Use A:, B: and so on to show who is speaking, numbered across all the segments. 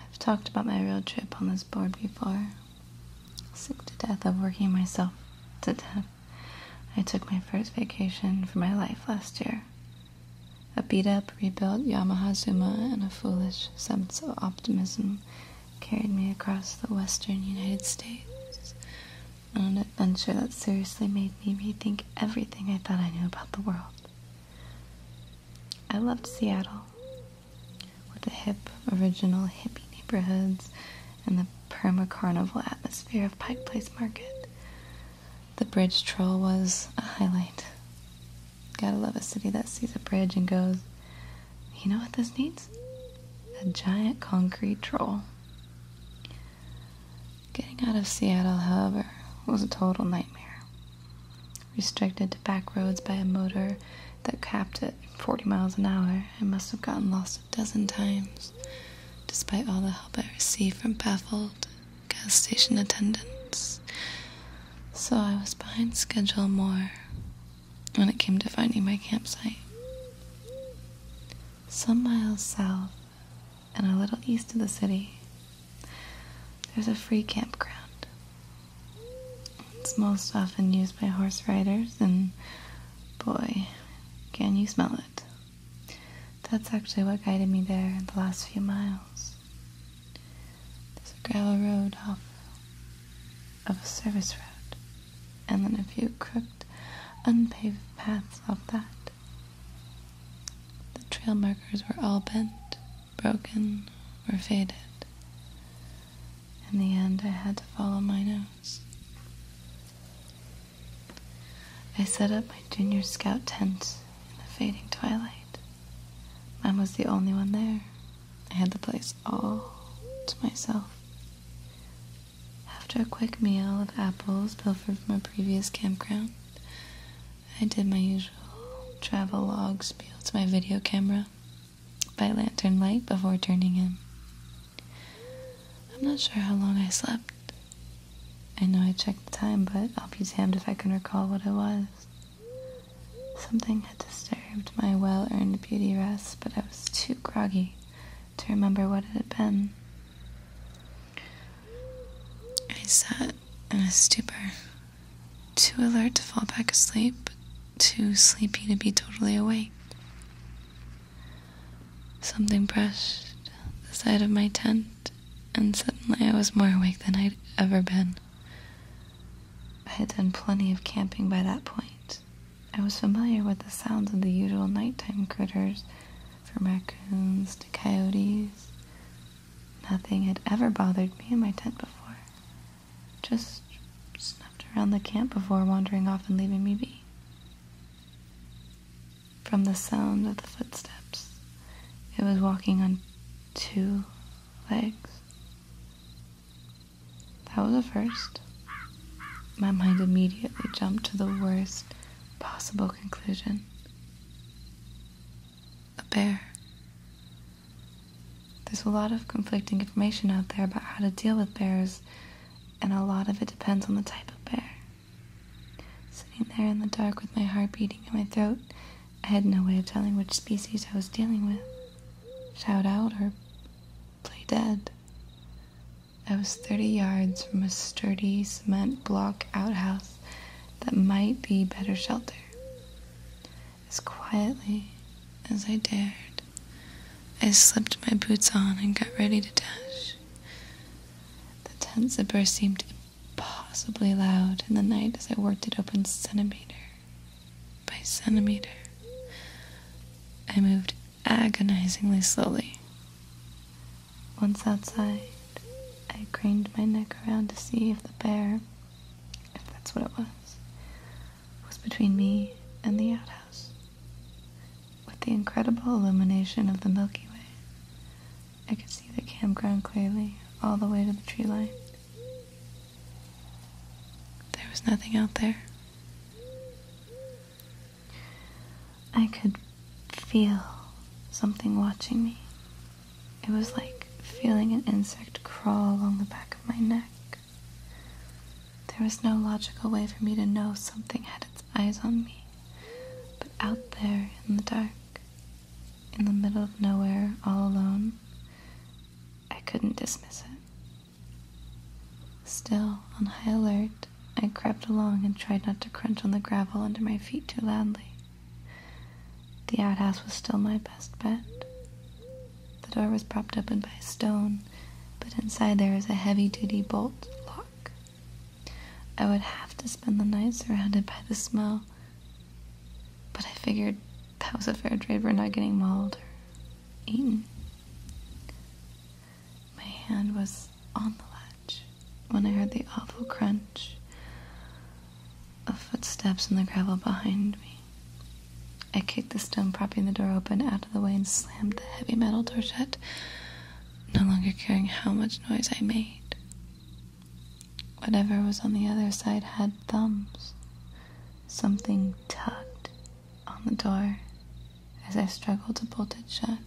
A: I've talked about my road trip on this board before. Sick to death of working myself to death. I took my first vacation for my life last year. A beat up, rebuilt Yamaha Zuma and a foolish sense of optimism carried me across the western United States on an adventure that seriously made me rethink everything I thought I knew about the world. I loved Seattle with the hip, original hippie neighborhoods and the perma-carnival atmosphere of Pike Place Market. The bridge troll was a highlight. Gotta love a city that sees a bridge and goes, you know what this needs? A giant concrete troll. Getting out of Seattle, however, was a total nightmare. Restricted to back roads by a motor that capped at 40 miles an hour, I must have gotten lost a dozen times, despite all the help I received from baffled gas station attendants. So I was behind schedule more when it came to finding my campsite. Some miles south, and a little east of the city, there's a free campground. It's most often used by horse riders, and boy, can you smell it. That's actually what guided me there the last few miles. There's a gravel road off of a service road, and then a few crooked, unpaved paths off that. The trail markers were all bent, broken, or faded. In the end, I had to follow my nose. I set up my junior scout tent in the fading twilight. I was the only one there. I had the place all to myself. After a quick meal of apples pilfered from a previous campground, I did my usual travel logs, spiel to my video camera by lantern light before turning in. I'm not sure how long I slept. I know I checked the time, but I'll be damned if I can recall what it was. Something had disturbed my well earned beauty rest, but I was too groggy to remember what it had been. I sat in a stupor, too alert to fall back asleep, too sleepy to be totally awake. Something brushed the side of my tent, and suddenly I was more awake than I'd ever been. I had done plenty of camping by that point. I was familiar with the sounds of the usual nighttime critters, from raccoons to coyotes, Nothing had ever bothered me in my tent before. Just snuffed around the camp before wandering off and leaving me be. From the sound of the footsteps, it was walking on two legs. That was a first. My mind immediately jumped to the worst possible conclusion a bear. There's a lot of conflicting information out there about how to deal with bears, and a lot of it depends on the type of bear. Sitting there in the dark with my heart beating in my throat, I had no way of telling which species I was dealing with. Shout out or play dead. I was 30 yards from a sturdy cement block outhouse that might be better shelter. As quietly as I dared, I slipped my boots on and got ready to dash. The tent zipper seemed impossibly loud in the night as I worked it open centimeter by centimeter. I moved agonizingly slowly. Once outside, I craned my neck around to see if the bear, if that's what it was, was between me and the outhouse. With the incredible illumination of the Milky Way, I could see the campground clearly all the way to the tree line. There was nothing out there. I could feel something watching me. It was like feeling an insect crawl along the back of my neck. There was no logical way for me to know something had its eyes on me. But out there in the dark, in the middle of nowhere, all alone, I couldn't dismiss it. Still on high alert, I crept along and tried not to crunch on the gravel under my feet too loudly. The outhouse was still my best bet. The door was propped open by a stone, but inside there was a heavy duty bolt lock. I would have to spend the night surrounded by the smell, but I figured that was a fair trade for not getting mauled or eaten. My hand was on the latch when I heard the awful crunch of footsteps in the gravel behind me. I kicked the stone propping the door open out of the way and slammed the heavy metal door shut, no longer caring how much noise I made. Whatever was on the other side had thumbs. Something tugged on the door as I struggled to bolt it shut,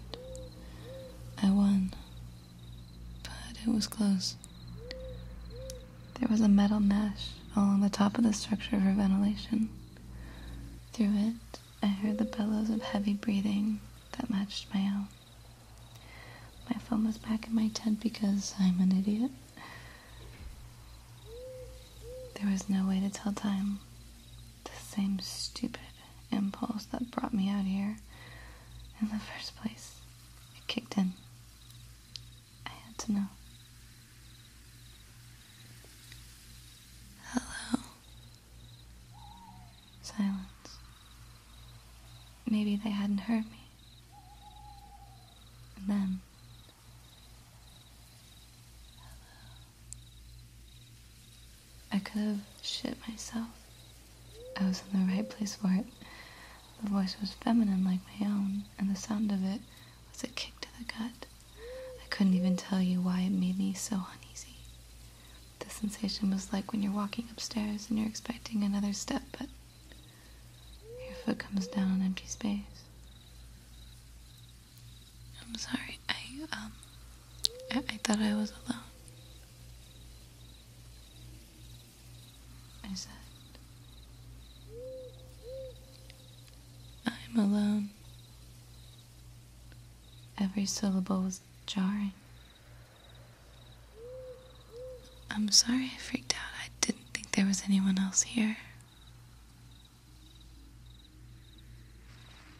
A: I won. But it was close. There was a metal mesh along the top of the structure for ventilation. Through it, I heard the bellows of heavy breathing that matched my own. My phone was back in my tent because I'm an idiot. There was no way to tell time the same stupid impulse that brought me out here in the first place. It kicked in. I had to know. Hello. Silence. Maybe they hadn't heard me. then. Hello. I could have shit myself. I was in the right place for it. The voice was feminine like my own, and the sound of it was a kick to the gut. I couldn't even tell you why it made me so uneasy. The sensation was like when you're walking upstairs and you're expecting another step, but your foot comes down on empty space. I'm sorry. I um I, thought I was alone. I said I'm alone. Every syllable was jarring. I'm sorry I freaked out. I didn't think there was anyone else here.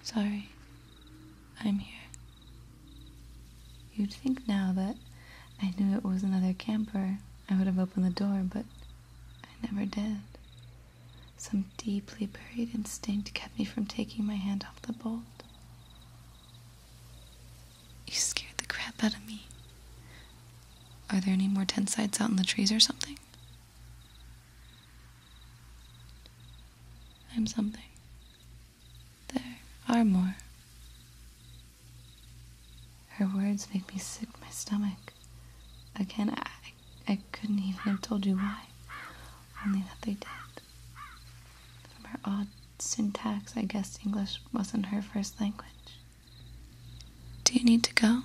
A: Sorry, I'm here. You'd think now that I knew it was another camper, I would have opened the door, but I never did. Some deeply buried instinct kept me from taking my hand off the bolt. You scared the crap out of me. Are there any more tent sites out in the trees or something? I'm something. There are more. Her words make me sick my stomach. Again, I, I couldn't even have told you why, only that they did. From her odd syntax, I guessed English wasn't her first language. Do you need to go?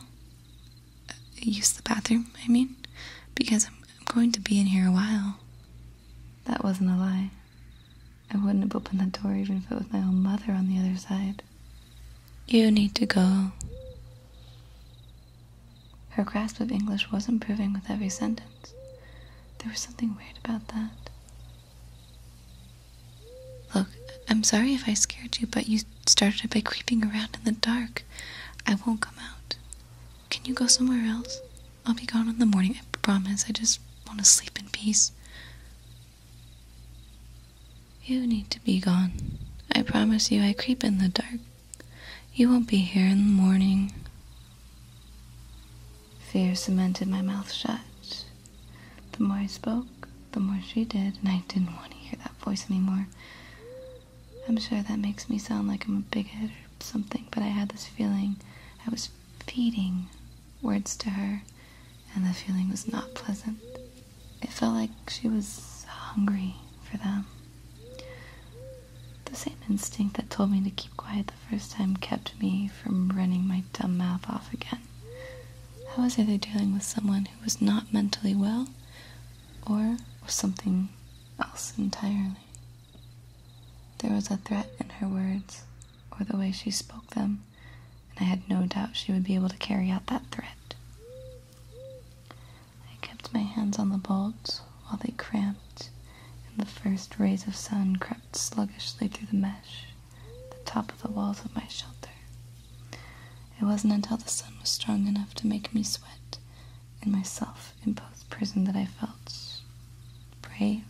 A: use the bathroom, I mean, because I'm, going to be in here a while. That wasn't a lie. I wouldn't have opened that door even if it was my own mother on the other side. You need to go. Her grasp of English was improving with every sentence. There was something weird about that. Look, I'm sorry if I scared you, but you started by creeping around in the dark. I won't come out. Can you go somewhere else? I'll be gone in the morning, I promise. I just want to sleep in peace. You need to be gone. I promise you, I creep in the dark. You won't be here in the morning. Fear cemented my mouth shut. The more I spoke, the more she did, and I didn't want to hear that voice anymore. I'm sure that makes me sound like I'm a bigot or something, but I had this feeling I was feeding words to her, and the feeling was not pleasant. It felt like she was hungry for them. The same instinct that told me to keep quiet the first time kept me from running my dumb mouth off again. How was either dealing with someone who was not mentally well or something else entirely? There was a threat in her words, or the way she spoke them, and I had no doubt she would be able to carry out that threat. I kept my hands on the bolts while they cramped, and the first rays of sun crept sluggishly through the mesh, the top of the walls of my shelter. It wasn't until the sun was strong enough to make me sweat and myself self imposed prison that I felt brave,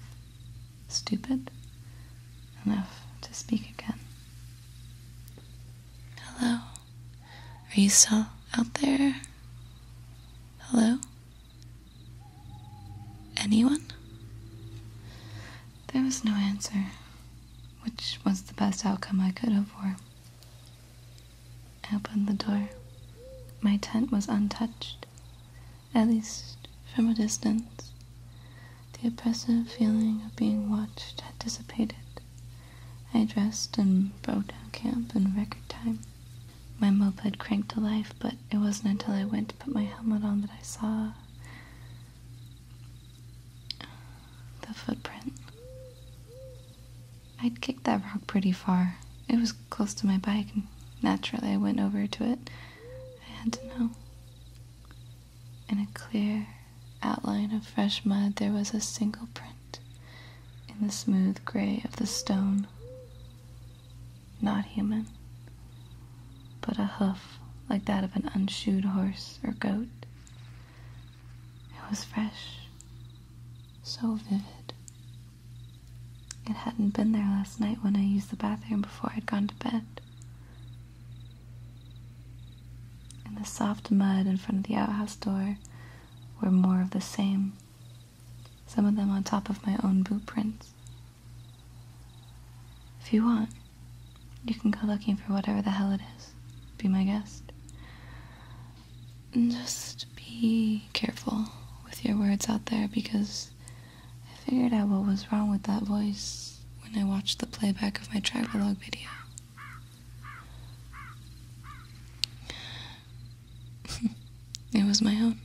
A: stupid, enough to speak again. Hello? Are you still out there? Hello? Anyone? There was no answer which was the best outcome I could hope for. I opened the door. My tent was untouched, at least from a distance. The oppressive feeling of being watched had dissipated. I dressed and broke down camp in record time. My moped cranked to life, but it wasn't until I went to put my helmet on that I saw the footprint. I'd kicked that rock pretty far. It was close to my bike, and naturally I went over to it. I had to know. In a clear outline of fresh mud, there was a single print in the smooth gray of the stone. Not human but a hoof like that of an unshoed horse or goat. It was fresh, so vivid. It hadn't been there last night when I used the bathroom before I'd gone to bed. And the soft mud in front of the outhouse door were more of the same, some of them on top of my own boot prints. If you want, you can go looking for whatever the hell it is. Be my guest. And just be careful with your words out there because I figured out what was wrong with that voice when I watched the playback of my travelogue video. it was my own.